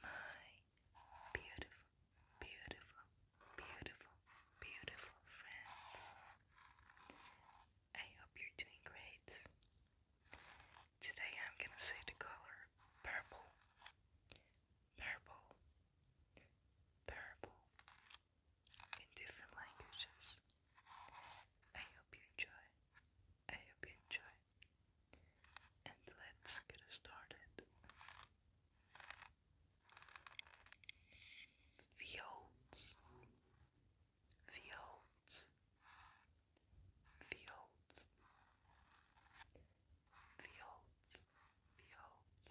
Hello, my beautiful, beautiful, beautiful, beautiful friends. I hope you're doing great. Today I'm gonna say the color purple, purple, purple in different languages. I hope you enjoy. I hope you enjoy. And let's get started. Fields, fields, fields, fields, fields, fields, fields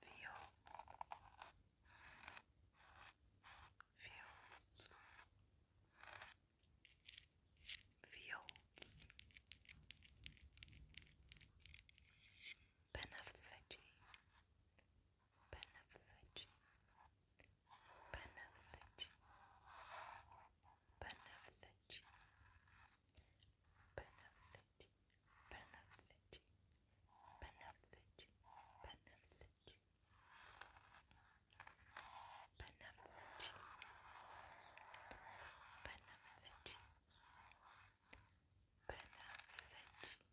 fields, fields, fields, benefici, benefici, benefici, benefici, benefici benefici, benefici, benefici, benefici, benefici, benefici, benefici, benefici, benefici. Benefic,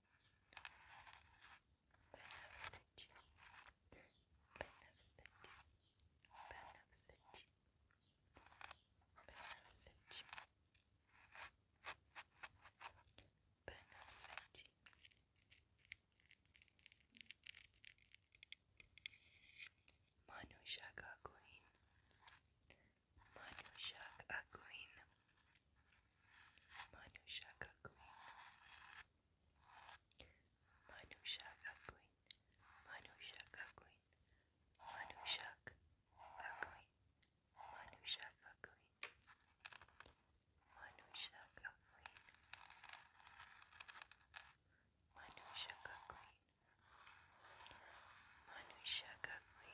Beneficent, beneficent, beneficent, beneficent, beneficent. Manushak Akuin, Manushak Akuin. Manushaka Queen Manushaka Queen Manushaka Queen Manushaka Queen Manushaka Queen Manushaka Queen Manushaka Queen Manushaka Queen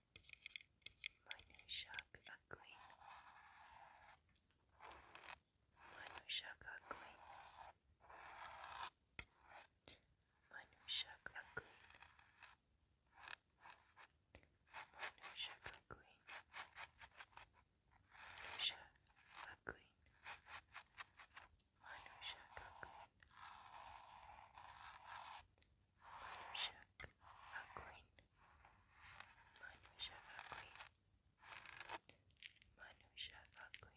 My new shark are green. My new shark are green. My new shark are green. My new shark shook out clean. Mine was shook out clean. Mine was shook out clean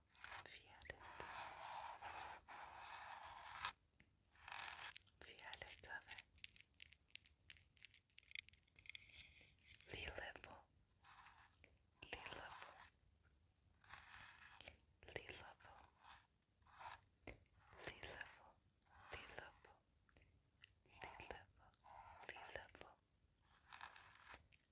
Violet over the level, the level, the level, the level, the level, the level, the level,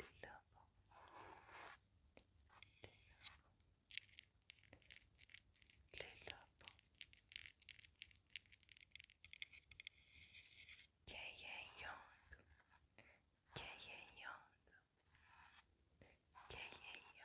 lila, lila, Ye Young, Ye Young, Ye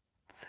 Sir,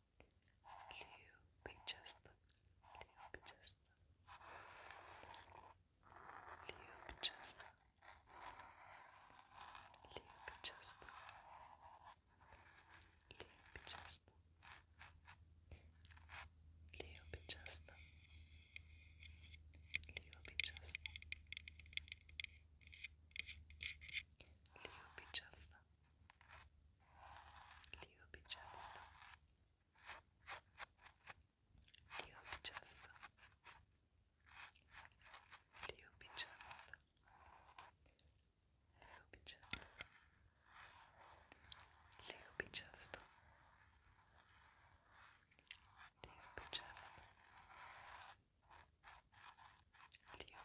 Liu Pichasta, Liu Pichasta, Liu Pichasta, Liu Pichasta, Liu Pichasta, Liu Pichasta, Liu Pichasta, Liu Pichasta. Dio Pichasta. Dio Pichasta. Dio Pichasta. Leo Pichasta. Leo Pichasta. Leo Pichasta. Leo Pichasta. Leo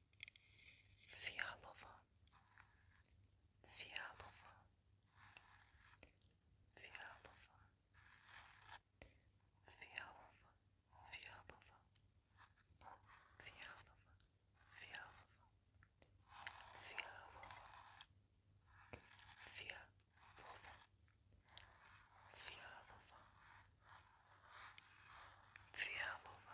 Fialova, Fialova, Fialova, Fialova, Fialova, Fialova, Fialova, Fialova, Fialova, Fialova, Fialova,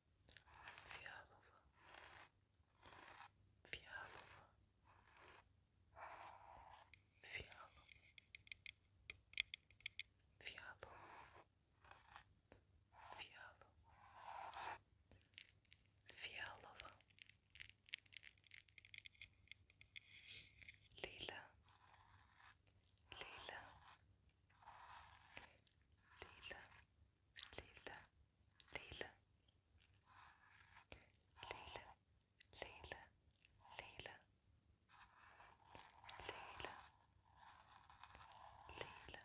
фиалово, фиалово, фиалово, фиалово, фиалово, фиалово, лила, лила, лила. Lila, Lila, Lila, Lila, Lila, Lila, Lila, Lila, Lila, Lila, Lila,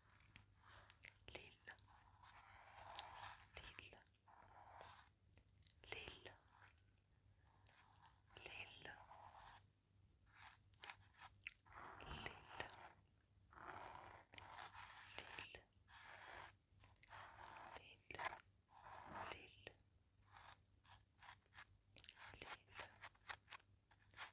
Lille, Lille, Lille, Lille, Lille. Lille, Lille, Lille, Lille,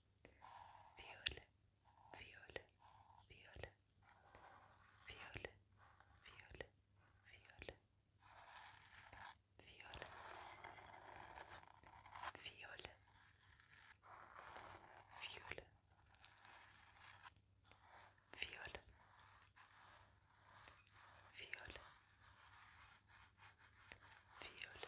violet, violet, violet, violet, violet, violet, violet, violet, violet, violet, violet, violet,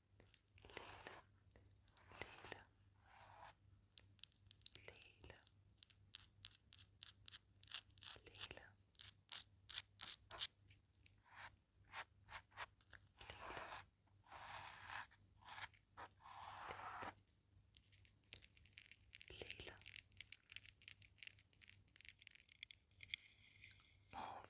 Lila, Lila, Lila, Lila. Lila Mauve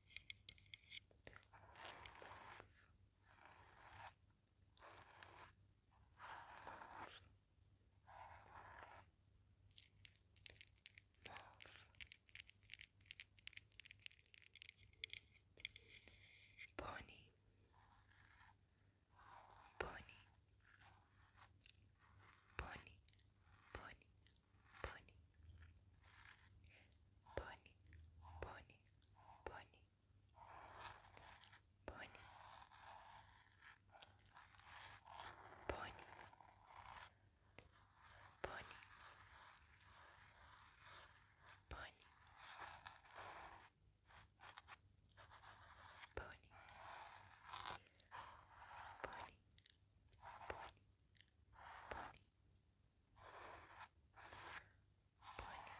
Pony, Pony, Pony, Pony, pony, pony, pony, pony, pony, pony, pony, pony. Pony, pony, pony, pony, Bonnie,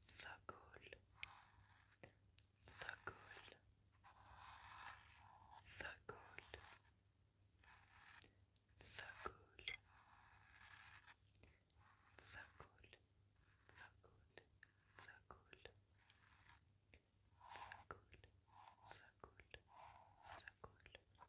So cool. So cool. So cool. So cool. So cool. So cool. So cool. So cool. So cool. So cool.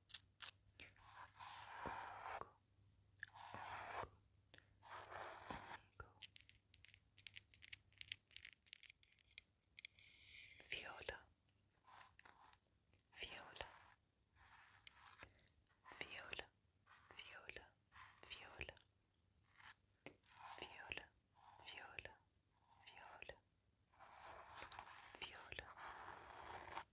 Viola, Viola, Viola, Viola, Viola, Viola, Viola, Viola, Viola,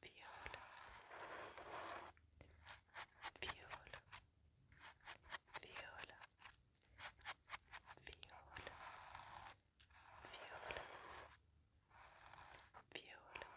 viola, viola, viola, viola, viola, viola, viola, viola.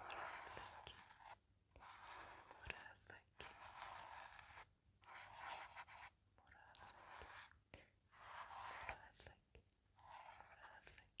Murasaki, Murasaki, Murasaki, Murasaki, Murasaki.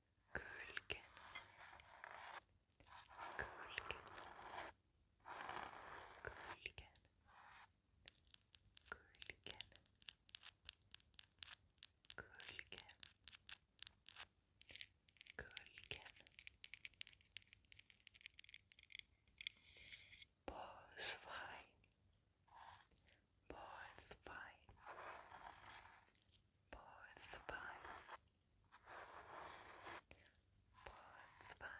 Kölken, Kölken, Kölken, Kölken, Kölken, Kölken. Boys fight. Boys fight. Boys fight. Pause by,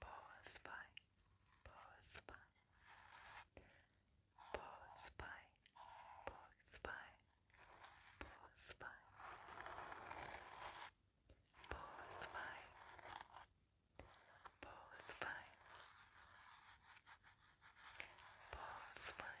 pause by, pause by, pause by, pause by, pause by, pause by, pause by, pause by. Pause by,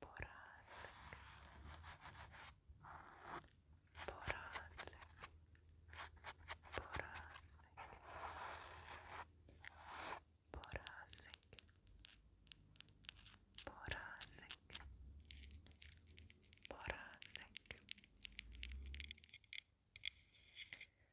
Borazic, Borazic, Borazic, Borazic, Borazic, Borazic.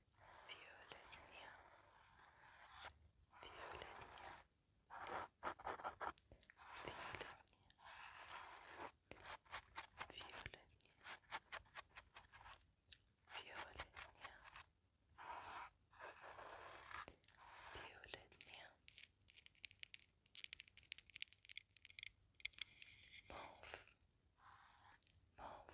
Violenia, Violenia, Violenia, Violenia, Violenia, Violenia, Mauve, Mauve,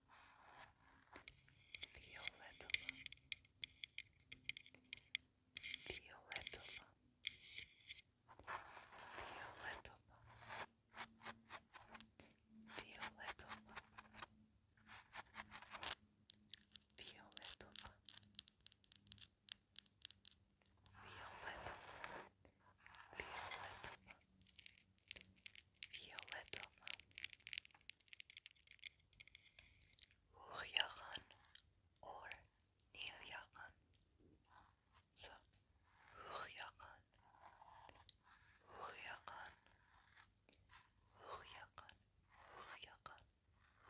Violetova Violetova Violetova Violetova Violetova Violetova Violetova Violetova Huyagan or Nilyagan. So Huyagan, Huyagan, Huyagan, Huyagan,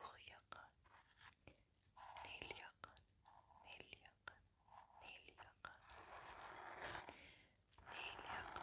Huyagan, Nilyagan, Nilyagan, Nilyagan, Nilyagan.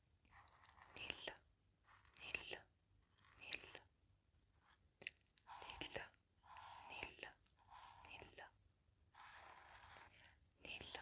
Nil, nil, nil, nil, nil, nil, nil, nil. Nil, nil, nil, nil,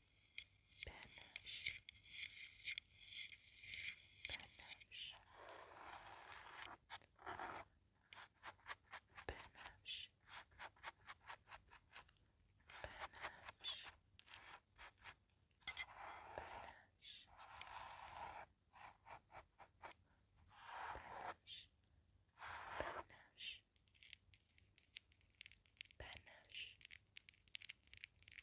banish, banish, banish, banish. Banish. Banish. Banish. Banish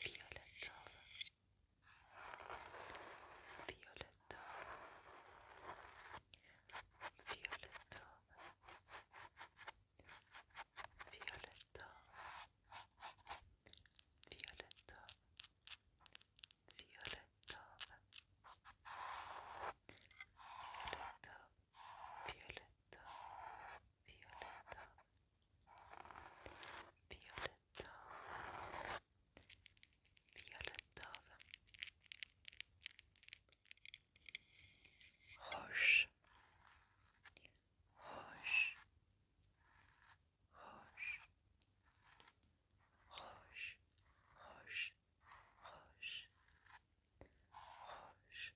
fioletowa, fioletowa, fioletowa, fioletowa, fioletowa, fioletowa, fioletowa, fioletowa, fioletowa fioletowa fioletowa roche roche roche roche roche roche roche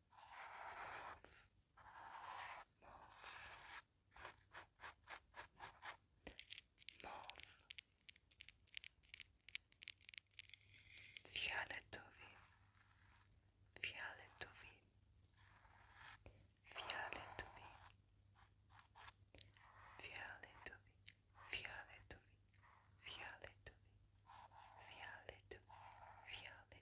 mauve, fioletowy, fioletowy, fioletowy, fioletowy, fioletowy, fioletowy, fioletowy, fioletowy.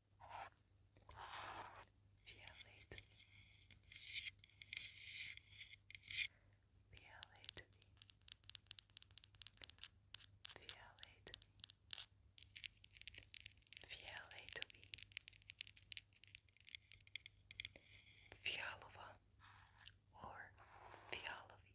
Feel it. Feel it. Feel it. or Fialovi.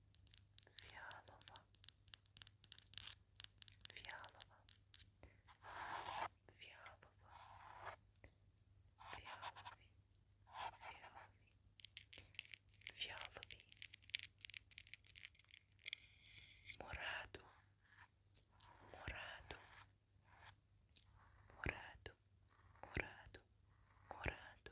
Fialowa, Fialowa, Fialowa, Fialowi, Fialowi, Fialowi, Morado, Morado, Morado, Morado, Morado,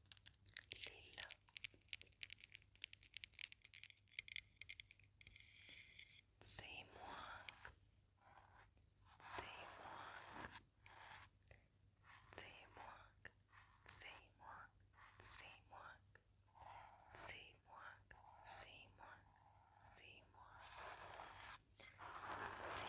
lila Seymour Seymour Seymour Seymour Seymour Seymour Seymour Seymour Seymour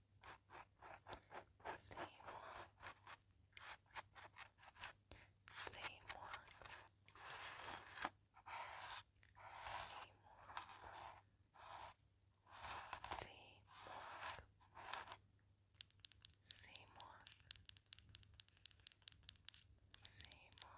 Seymour Seymour Seymour Seymour Seymour Seymour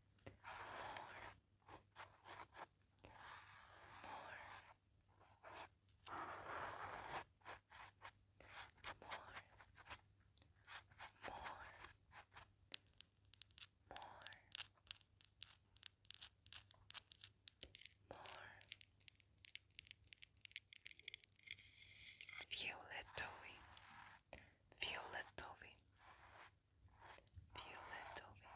Violet toy Fioletowy, Fioletowy,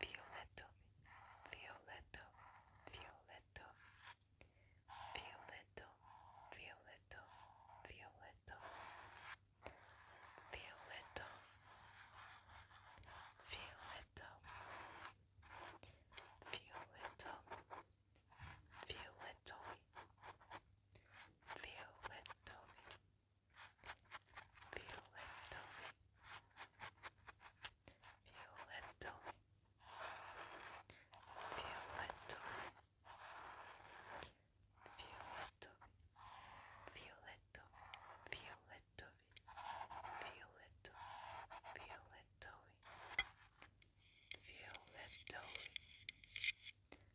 Fioletowy, Fioleto, Fioleto, Fioleto, Fioleto, Fioleto, Fioleto, Fioleto, Violet Toby, Violet Toby, Violet Toby, Violet Toby, Violet Toby,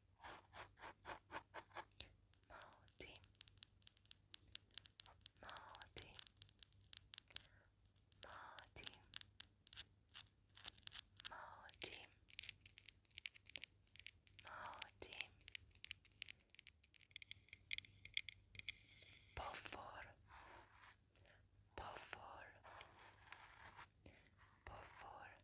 Marty, Marty, Marty, Marty, Marty. Buffer, buffer, buffer,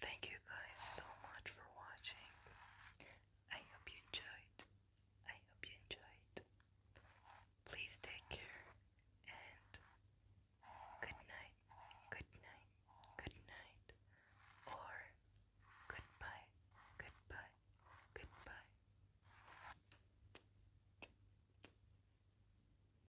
Thank you guys so much for watching. I hope you enjoyed. I hope you enjoyed. Please take care and good night, good night, good night, or goodbye, goodbye, goodbye.